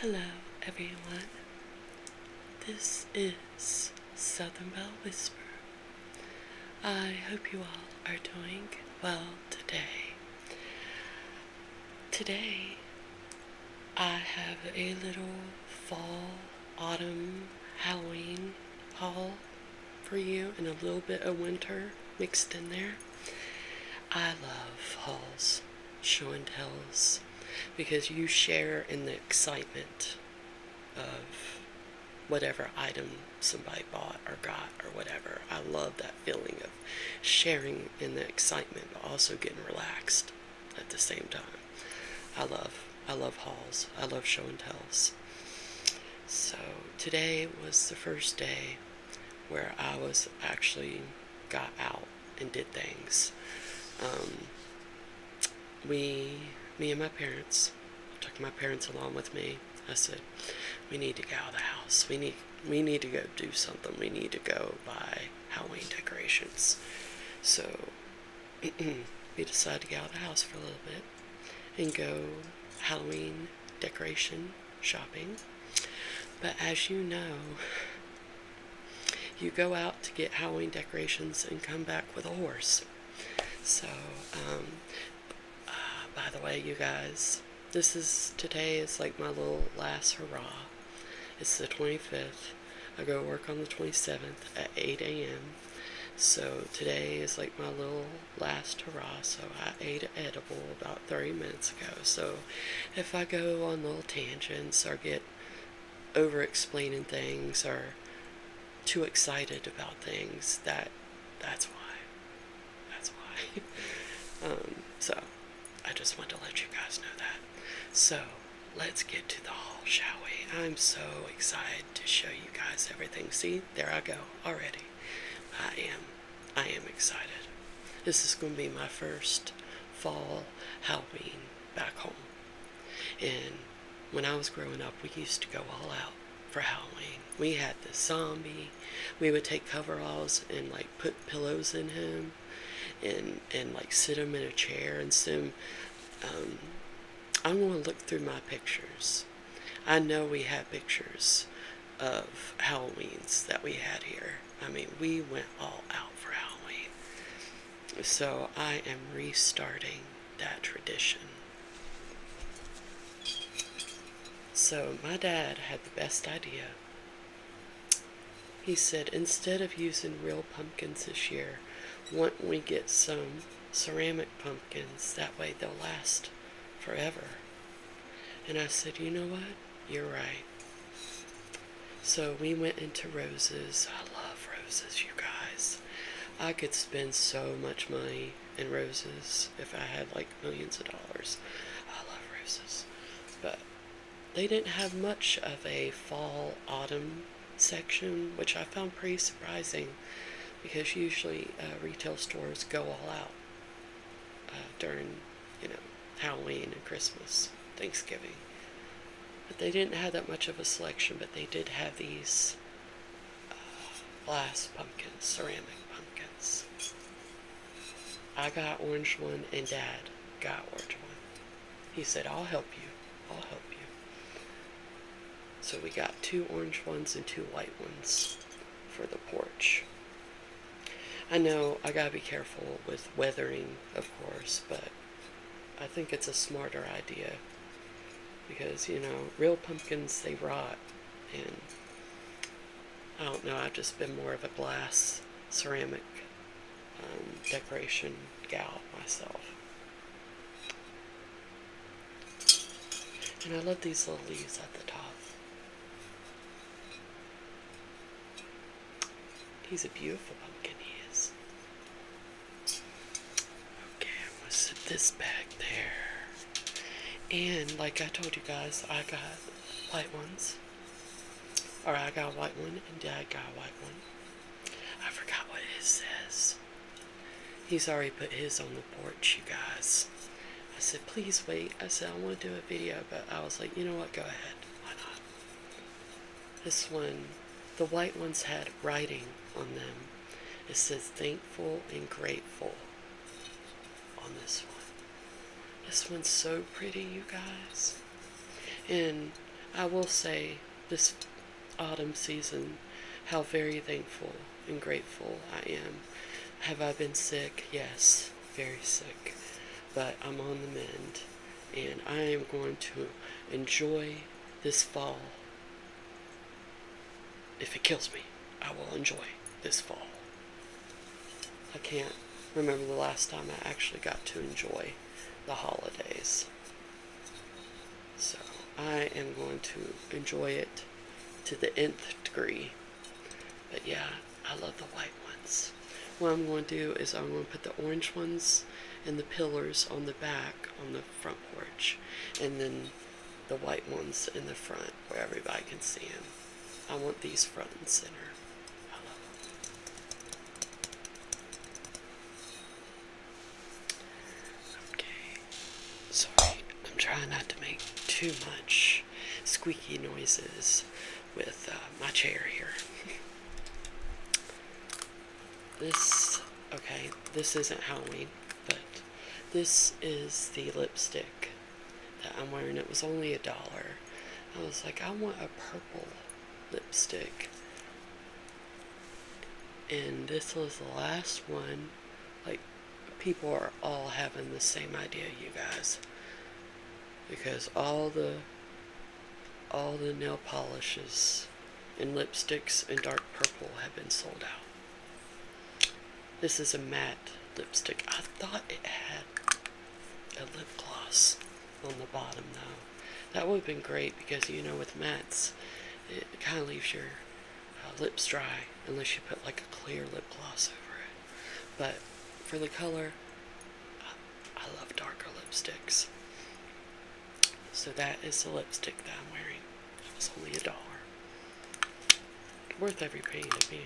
Hello, everyone. This is Southern Bell Whisper. I hope you all are doing well today. Today, I have a little fall, autumn, Halloween haul for you and a little bit of winter mixed in there. I love halls, show and tells, because you share in the excitement of whatever item somebody bought or got or whatever. I love that feeling of sharing in the excitement, also getting relaxed at the same time. I love, I love halls. I love show and tells. So today was the first day where I was actually got out and did things. Um, we, me and my parents, took my parents along with me. I said, we need to get out of the house. We need, we need to go do something. We need to go buy Halloween decorations. So we decided to get out of the house for a little bit and go Halloween decoration shopping. But as you know, you go out to get Halloween decorations and come back with a horse. So, um, uh, by the way, you guys, this is today is like my little last hurrah. It's the 25th. I go work on the 27th at 8 a.m. So today is like my little last hurrah. So I ate an edible about 30 minutes ago. So if I go on little tangents or get over explaining things or too excited about things, that that's why. That's why. Um, so I just want to let you guys know that. So let's get to the hall, shall we? I'm so excited to show you guys everything. See, there I go already. I am I am excited. This is going to be my first fall Halloween back home. And when I was growing up, we used to go all out for Halloween. We had the zombie. We would take coveralls and like put pillows in him, and and like sit him in a chair and sim. Um, I'm gonna look through my pictures. I know we had pictures of Halloweens that we had here, I mean, we went all out for Halloween. So I am restarting that tradition. So my dad had the best idea. He said, instead of using real pumpkins this year, why don't we get some ceramic pumpkins? That way they'll last forever. And I said, you know what? You're right. So we went into roses. I love roses, you guys. I could spend so much money in roses if I had like millions of dollars. I love roses. But they didn't have much of a fall autumn section, which I found pretty surprising because usually uh, retail stores go all out uh, during you know, Halloween and Christmas, Thanksgiving. But they didn't have that much of a selection, but they did have these uh, glass pumpkins, ceramic pumpkins. I got orange one, and Dad got orange one. He said, I'll help you. I'll help you. So we got two orange ones and two white ones for the porch. I know I gotta be careful with weathering, of course, but I think it's a smarter idea because, you know, real pumpkins, they rot. And I don't know, I've just been more of a glass ceramic um, decoration gal myself. And I love these little leaves at the top. He's a beautiful pumpkin, he is. Okay, I'm gonna sit this back there. And like I told you guys, I got white ones. Alright, I got a white one and Dad got a white one. I forgot what it says. He's already put his on the porch, you guys. I said, please wait. I said, I want to do a video, but I was like, you know what, go ahead. Why not? This one, the white ones had writing on them. It says thankful and grateful on this one. This one's so pretty, you guys. And I will say this autumn season how very thankful and grateful I am. Have I been sick? Yes very sick, but I'm on the mend, and I am going to enjoy this fall. If it kills me, I will enjoy this fall. I can't remember the last time I actually got to enjoy the holidays. So I am going to enjoy it to the nth degree. But yeah, I love the white ones. What I'm going to do is I'm going to put the orange ones and the pillars on the back on the front porch. And then the white ones in the front where everybody can see them. I want these front and center. Okay. Sorry, I'm trying not to make too much squeaky noises with uh, my chair here. this, okay, this isn't Halloween, but this is the lipstick that I'm wearing. It was only a dollar. I was like, I want a purple lipstick. And this was the last one, like people are all having the same idea, you guys. Because all the all the nail polishes and lipsticks in dark purple have been sold out. This is a matte lipstick. I thought it had a lip gloss on the bottom though. That would have been great because you know with mattes it kind of leaves your uh, lips dry unless you put like a clear lip gloss over it. But for the color, I love darker lipsticks. So that is the lipstick that I'm wearing. It's only a dollar. Worth every penny to me.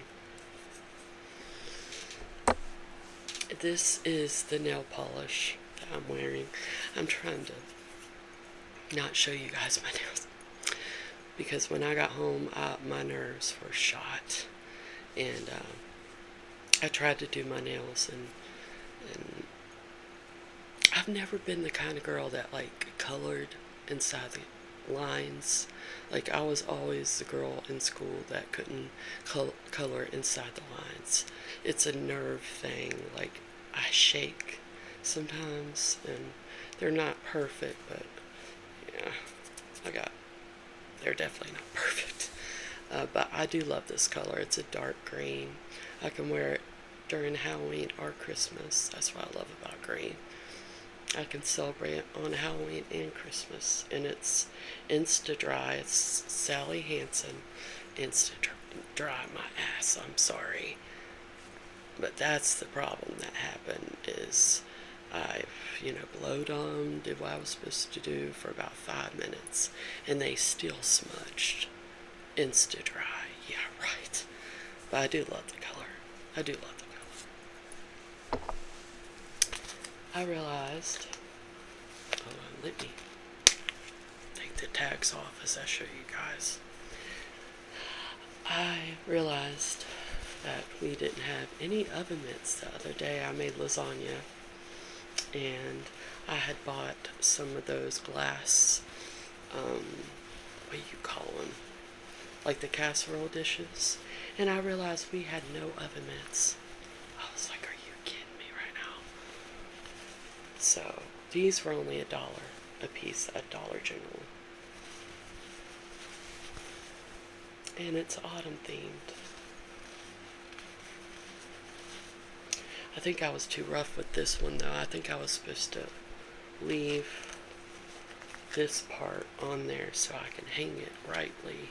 This is the nail polish that I'm wearing. I'm trying to not show you guys my nails because when I got home, my nerves were shot, and uh, I tried to do my nails, and, I've never been the kind of girl that like colored inside the lines. Like I was always the girl in school that couldn't color inside the lines. It's a nerve thing. Like I shake sometimes, and they're not perfect, but yeah, I got they're definitely not perfect. Uh, but I do love this color. It's a dark green. I can wear it during Halloween or Christmas. That's what I love about green. I can celebrate on Halloween and Christmas. And it's Insta Dry. It's Sally Hansen. Insta Dry my ass. I'm sorry. But that's the problem that happened is I've, you know, blowed them, did what I was supposed to do for about five minutes, and they still smudged. Insta dry, yeah, right. But I do love the color. I do love the color. I realized, let me take the tags off as I show you guys. I realized that we didn't have any oven mitts the other day. I made lasagna and I had bought some of those glass, um, what do you call them? Like the casserole dishes. And I realized we had no oven mitts. I was like, are you kidding me right now? So these were only a dollar a piece a Dollar General and it's autumn themed. I think I was too rough with this one though. I think I was supposed to leave this part on there so I can hang it rightly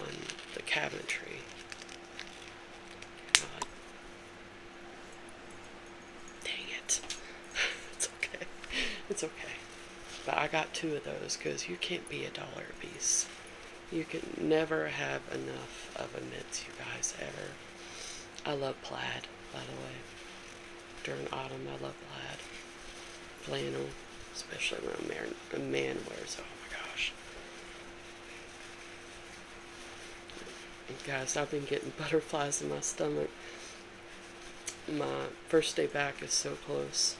on the cabinetry. God. Dang it. okay. It's okay. But I got two of those because you can't be a dollar a piece. You can never have enough of a mitts, you guys, ever. I love plaid, by the way. During autumn, I love plaid. Flannel, especially when a man, a man wears Oh my gosh. guys, I've been getting butterflies in my stomach my first day back is so close.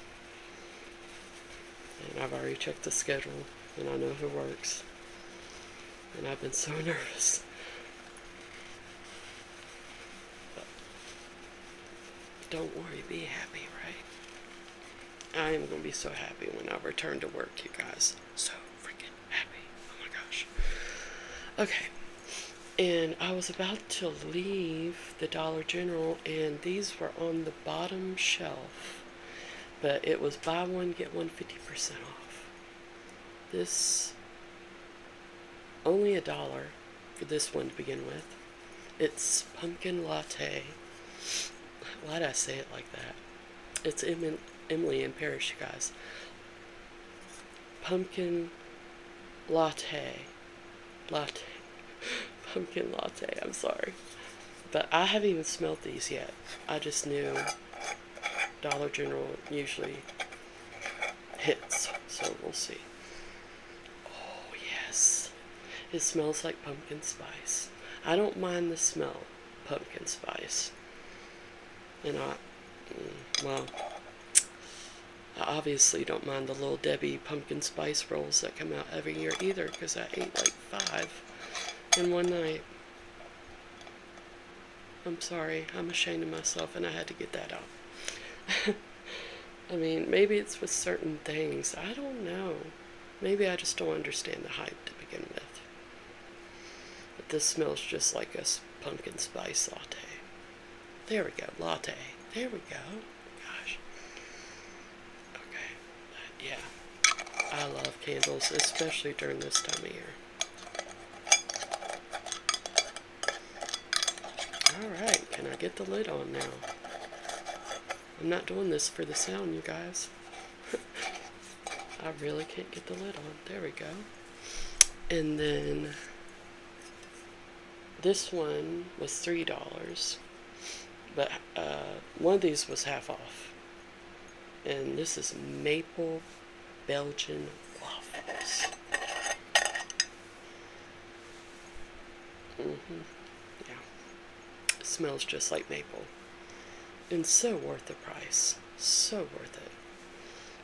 And I've already checked the schedule, and I know who works. And I've been so nervous. But don't worry, be happy, right? I am going to be so happy when I return to work, you guys. So freaking happy. Oh my gosh. Okay and I was about to leave the Dollar General, and these were on the bottom shelf, but it was buy one, get one 50% off. This, only a dollar for this one to begin with. It's pumpkin latte. why do I say it like that? It's Emily and Parish, you guys pumpkin latte. Latte. pumpkin latte, I'm sorry. But I haven't even smelled these yet. I just knew Dollar General usually hits, so we'll see. Oh, yes. It smells like pumpkin spice. I don't mind the smell pumpkin spice. And I, mm, well, I obviously don't mind the Little Debbie pumpkin spice rolls that come out every year either because I ate like five in one night. I'm sorry, I'm ashamed of myself and I had to get that out. I mean, maybe it's with certain things. I don't know. Maybe I just don't understand the hype to begin with. But this smells just like a pumpkin spice latte. There we go, latte. There we go. Gosh. Okay. yeah. I love candles, especially during this time of year. Alright, can I get the lid on now? I'm not doing this for the sound, you guys. I really can't get the lid on. There we go. And then this one was three dollars, but uh, one of these was half off. And this is maple Belgian waffles. Mm-hmm. Yeah. smells just like maple. And so worth the price. So worth it.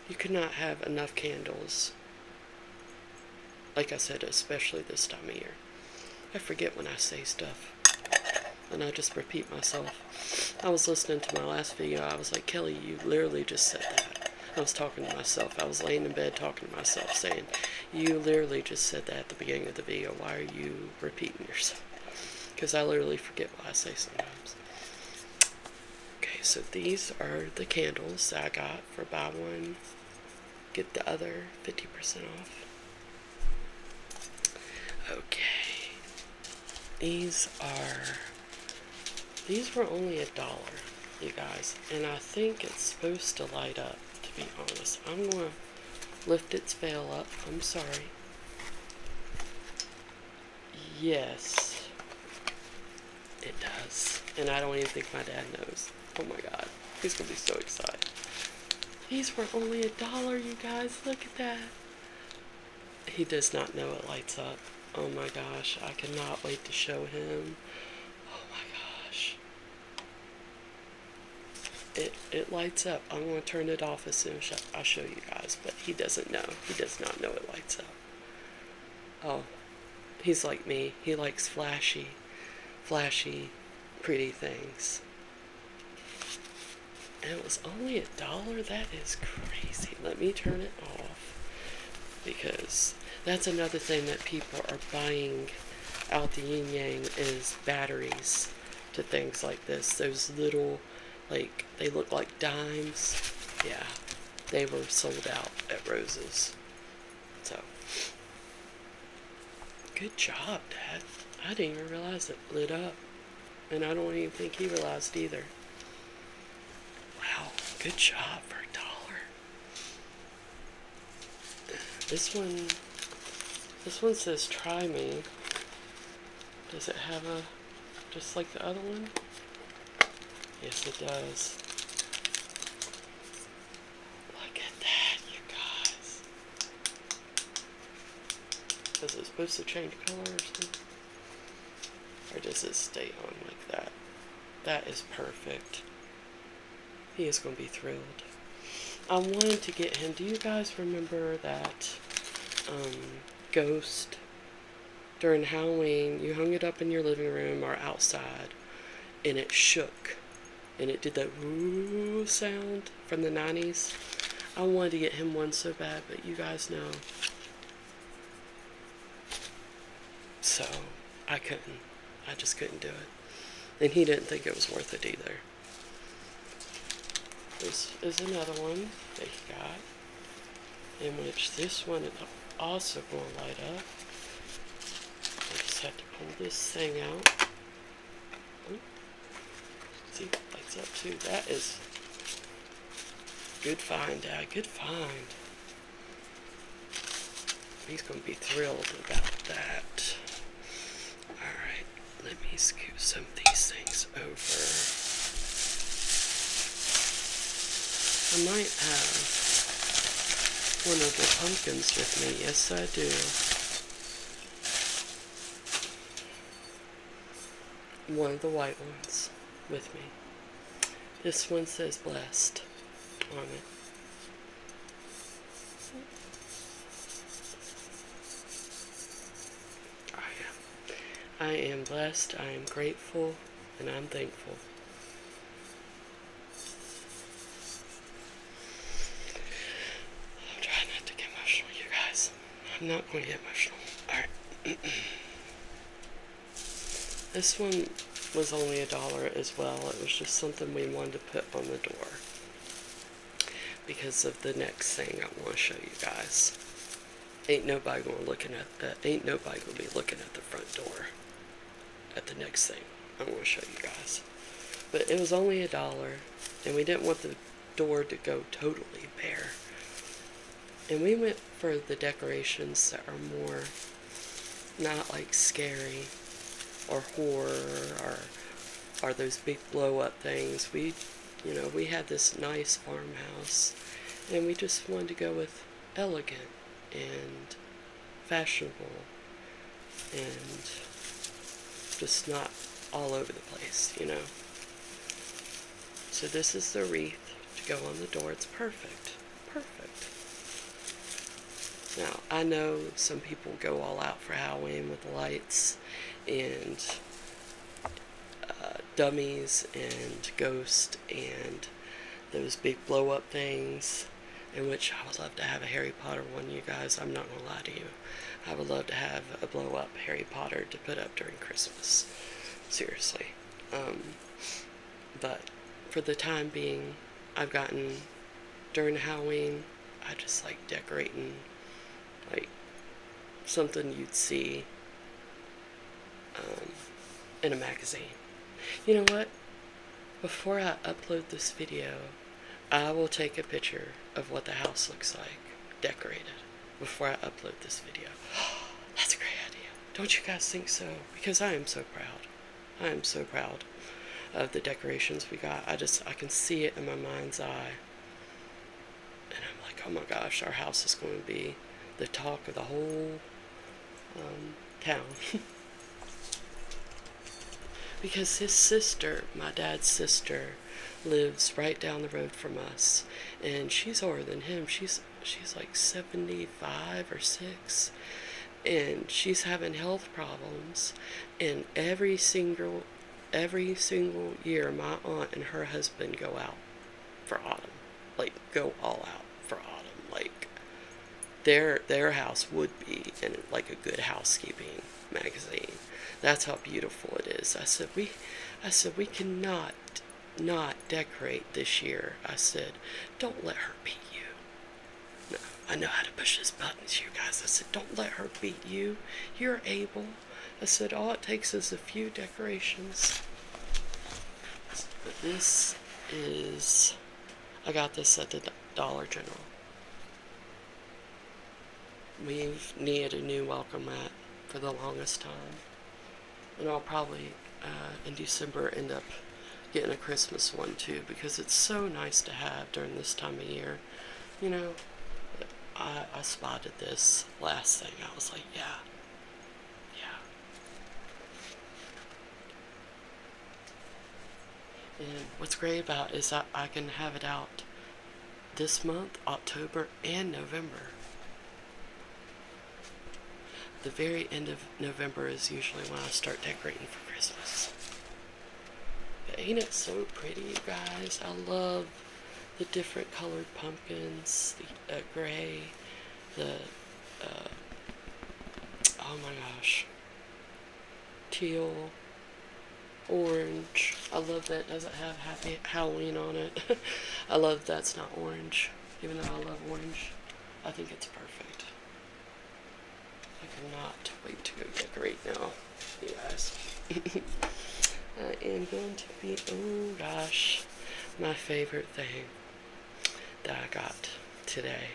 You could not have enough candles like I said, especially this time of year. I forget when I say stuff. And I just repeat myself. I was listening to my last video. I was like, Kelly, you literally just said that. I was talking to myself. I was laying in bed talking to myself, saying, you literally just said that at the beginning of the video. Why are you repeating yourself? Because I literally forget what I say sometimes. Okay, so these are the candles that I got for buy one, get the other 50% off. Okay, these are, these were only a dollar, you guys, and I think it's supposed to light up, to be honest. I'm going to lift its veil up, I'm sorry. Yes. It does. And I don't even think my dad knows. Oh my god. He's gonna be so excited. These were only a dollar, you guys. Look at that. He does not know it lights up. Oh my gosh. I cannot wait to show him. Oh my gosh. It, it lights up. I'm going to turn it off as soon as I show you guys. But he doesn't know. He does not know it lights up oh, he's like me. He likes flashy, flashy, pretty things. And it was only a dollar? That is crazy. Let me turn it off because that's another thing that people are buying out the yin yang is batteries to things like this. Those little, like, they look like dimes. Yeah, they were sold out at Rose's. So, good job, Dad. I didn't even realize it lit up. And I don't even think he realized either. Wow, good job for a dollar. This one, this one says try me. Does it have a, just like the other one? Yes, it does. Look at that, you guys. Is it supposed to change colors? Or does it stay on like that? That is perfect. He is going to be thrilled. I wanted to get him. Do you guys remember that um, ghost during Halloween, you hung it up in your living room or outside, and it shook. And it did that woo sound from the 90s. I wanted to get him one so bad, but you guys know. So, I couldn't. I just couldn't do it. And he didn't think it was worth it either. This is another one that he got in which this one is also going to light up. I just have to pull this thing out. See, it lights up too. That is good find, Dad. Good find. He's going to be thrilled about that. Alright, let me scoot some of these things over. I might have one of the pumpkins with me. Yes, I do. One of the white ones with me. This one says blessed on it. I am. I am blessed. I am grateful and I'm thankful. I'm trying not to get emotional, you guys. I'm not going to get emotional. Alright. this one was only a dollar as well. It was just something we wanted to put on the door because of the next thing I want to show you guys. Ain't nobody gonna looking at that. Ain't nobody gonna be looking at the front door. At the next thing, I'm gonna show you guys. But it was only a dollar, and we didn't want the door to go totally bare. And we went for the decorations that are more not like scary or horror or are those big blow up things. We, you know, we had this nice farmhouse, and we just wanted to go with elegant and fashionable and just not all over the place, you know. So this is the wreath to go on the door. It's perfect. Perfect. Now, I know some people go all out for Halloween with lights and uh, dummies and ghosts and those big blow up things, in which I would love to have a Harry Potter one, you guys. I'm not going to lie to you. I would love to have a blow up Harry Potter to put up during Christmas. Seriously. Um, but for the time being, I've gotten during Halloween, I just like decorating like something you'd see uh, in a magazine. You know what? Before I upload this video, I will take a picture of what the house looks like decorated before I upload this video. that's a great idea. Don't you guys think so? Because I am so proud. I am so proud of the decorations we got. I just, I can see it in my mind's eye. And I'm like, oh my gosh, our house is going to be the talk of the whole um, town. because his sister, my dad's sister, lives right down the road from us, and she's older than him. She's she's like 75 or 6 and she's having health problems and every single every single year my aunt and her husband go out for autumn. Like go all out for autumn. Like their their house would be in like a good housekeeping magazine. That's how beautiful it is. I said we I said we cannot not decorate this year. I said, don't let her beat you. No, I know how to push these buttons, you guys. I said, don't let her beat you. You're able. I said, all it takes is a few decorations. So this is, I got this at the Dollar General. We've needed a new welcome mat for the longest time. And I'll probably, uh, in December, end up getting a Christmas one too because it's so nice to have during this time of year. You know, I, I spotted this last thing. I was like, yeah, yeah. And what's great about is that I can have it out this month, October, and November. The very end of November is usually when I start decorating for Christmas. But ain't it so pretty, guys? I love the different colored pumpkins, the uh, gray, the uh, oh my gosh teal orange I love that it doesn't have happy Halloween on it I love that's not orange even though I love orange I think it's perfect I cannot wait to decorate now you guys I am going to be oh gosh my favorite thing that I got today.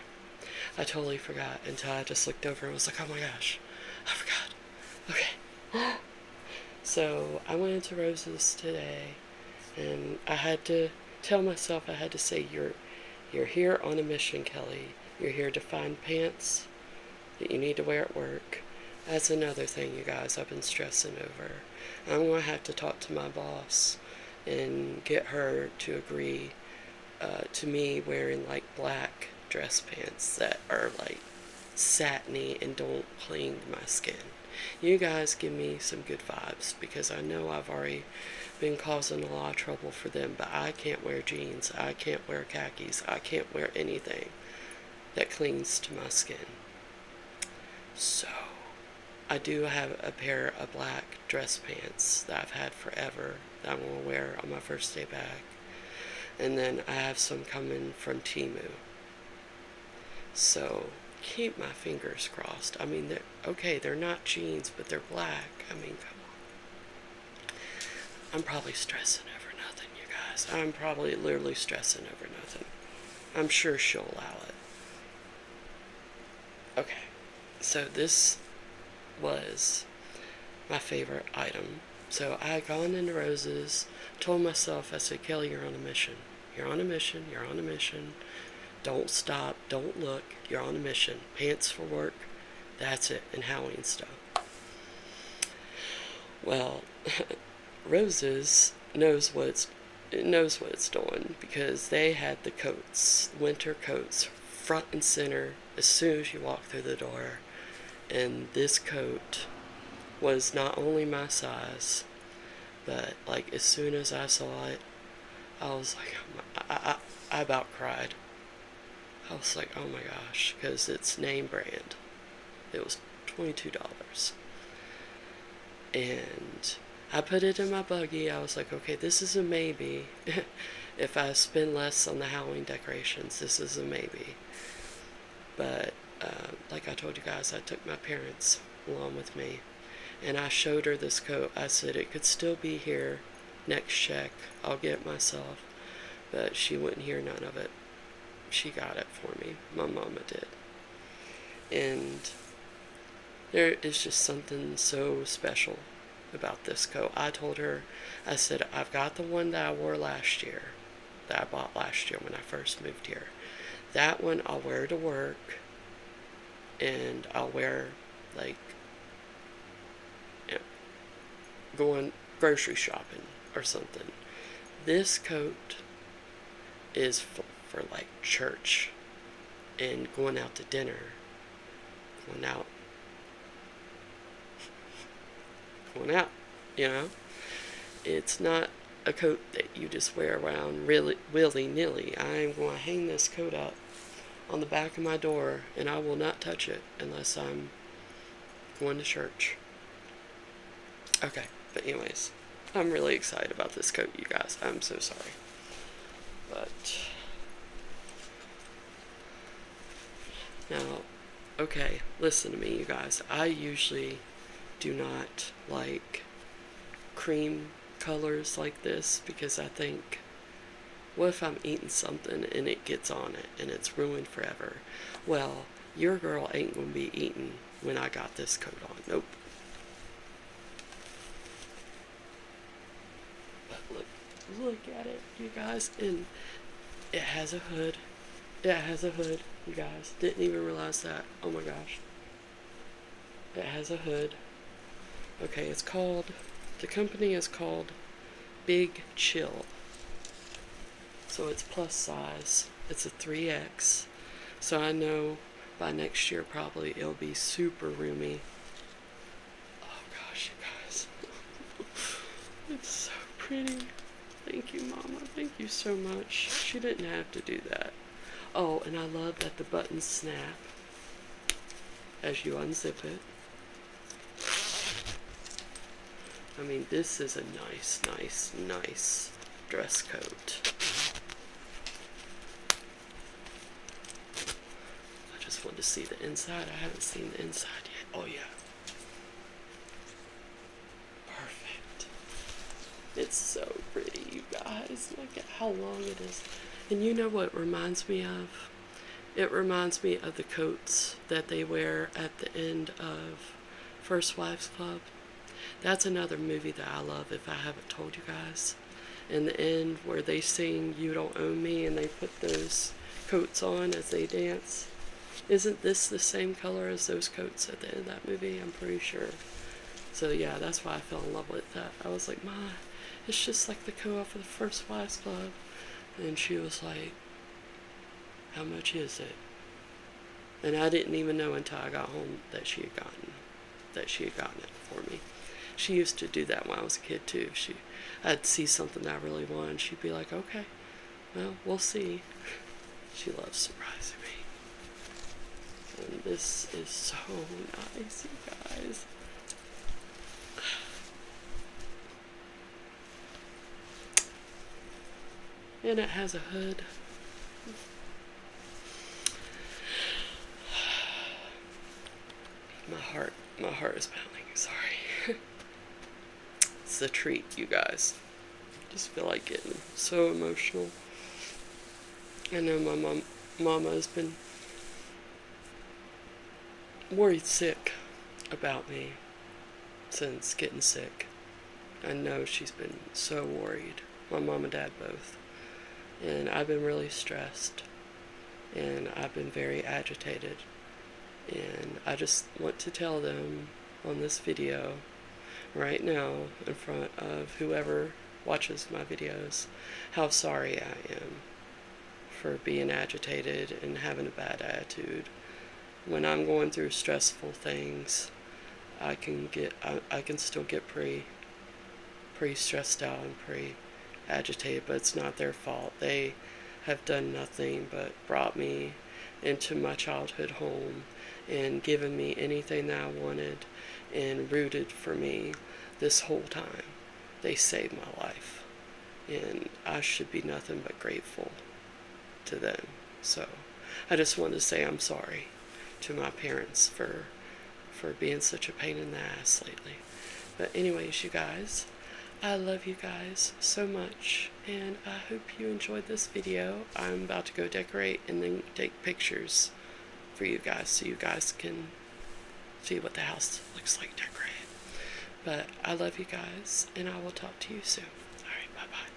I totally forgot until I just looked over and was like, oh my gosh, I forgot. Okay. so I went into Roses today and I had to tell myself I had to say you're you're here on a mission, Kelly. You're here to find pants that you need to wear at work. That's another thing you guys I've been stressing over. I'm going to have to talk to my boss and get her to agree uh, to me wearing like black dress pants that are like satiny and don't cling to my skin. You guys give me some good vibes because I know I've already been causing a lot of trouble for them, but I can't wear jeans, I can't wear khakis, I can't wear anything that clings to my skin. So, I do have a pair of black dress pants that I've had forever that I'm going to wear on my first day back. And then I have some coming from Timu. So, keep my fingers crossed. I mean, they're, okay, they're not jeans, but they're black. I mean, come on. I'm probably stressing over nothing, you guys. I'm probably literally stressing over nothing. I'm sure she'll allow it. Okay, so this was my favorite item. So I had gone into roses, told myself, I said, Kelly, you're on a mission. You're on a mission, you're on a mission. Don't stop, don't look, you're on a mission. Pants for work, that's it, and Halloween stuff. Well, Roses knows what it's it knows what it's doing because they had the coats, winter coats, front and center as soon as you walk through the door. And this coat was not only my size, but like as soon as I saw it, I was like, oh I, I, I about cried. I was like, oh my gosh, because it's name brand. It was $22. And I put it in my buggy. I was like, okay, this is a maybe. if I spend less on the Halloween decorations, this is a maybe. But um, like I told you guys, I took my parents along with me. And I showed her this coat. I said, it could still be here next check. I'll get it myself. But she wouldn't hear none of it. She got it for me. My mama did. And there is just something so special about this coat. I told her, I said, I've got the one that I wore last year, that I bought last year when I first moved here. That one I'll wear to work, and I'll wear like going grocery shopping or something. This coat is for, like church and going out to dinner, going out, going out, you know? It's not a coat that you just wear around really willy-nilly. I'm going to hang this coat up on the back of my door and I will not touch it unless I'm going to church. Okay, but anyways, I'm really excited about this coat, you guys. I'm so sorry. But now, okay, listen to me, you guys. I usually do not like cream colors like this because I think what if I'm eating something and it gets on it and it's ruined forever? Well, your girl ain't gonna be eating when I got this coat on. Nope. But look, look at it, you guys. And it has a hood. It has a hood, you guys. Didn't even realize that. Oh my gosh. It has a hood. Okay, it's called, the company is called Big Chill. So it's plus size it's a 3X. So I know by next year probably it'll be super roomy. Oh gosh, you guys. it's so pretty. Thank you, Mama. Thank you so much. She didn't have to do that. Oh, and I love that the buttons snap as you unzip it. I mean, this is a nice, nice, nice dress code. I just want to see the inside. I haven't seen the inside yet. Oh, yeah. Perfect. It's so pretty, you guys. Look at how long it is. And you know what reminds me of? It reminds me of the coats that they wear at the end of First Wives Club. That's another movie that I love if I haven't told you guys. In the end, where they sing You Don't Own Me and they put those coats on as they dance. Isn't this the same color as those coats at the end of that movie? I'm pretty sure. So yeah, that's why I fell in love with that. I was like, my, it's just like the co-op of the First Wives Club. And she was like, how much is it? And I didn't even know until I got home that she had gotten that she had gotten it for me. She used to do that when I was a kid too. She I'd see something I really wanted, she'd be like, Okay, well, we'll see. She loves surprising me. And this is so nice, you guys and it has a hood. My heart, my heart is pounding. Sorry. it's a treat, you guys. just feel like getting so emotional. I know my mom, mama has been worried sick about me since getting sick. I know she's been so worried. My mom and dad both. And I've been really stressed. And I've been very agitated. And I just want to tell them on this video right now in front of whoever watches my videos how sorry I am for being agitated and having a bad attitude when I'm going through stressful things I can get I, I can still get pretty pre stressed out and pre agitated, but it's not their fault. They have done nothing but brought me into my childhood home and given me anything that I wanted and rooted for me this whole time. They saved my life. And I should be nothing but grateful to them. So I just wanted to say I'm sorry to my parents for for being such a pain in the ass lately. But anyways, you guys, I love you guys so much and I hope you enjoyed this video. I'm about to go decorate and then take pictures for you guys so you guys can see what the house looks like decorated. But I love you guys and I will talk to you soon. Alright, bye bye.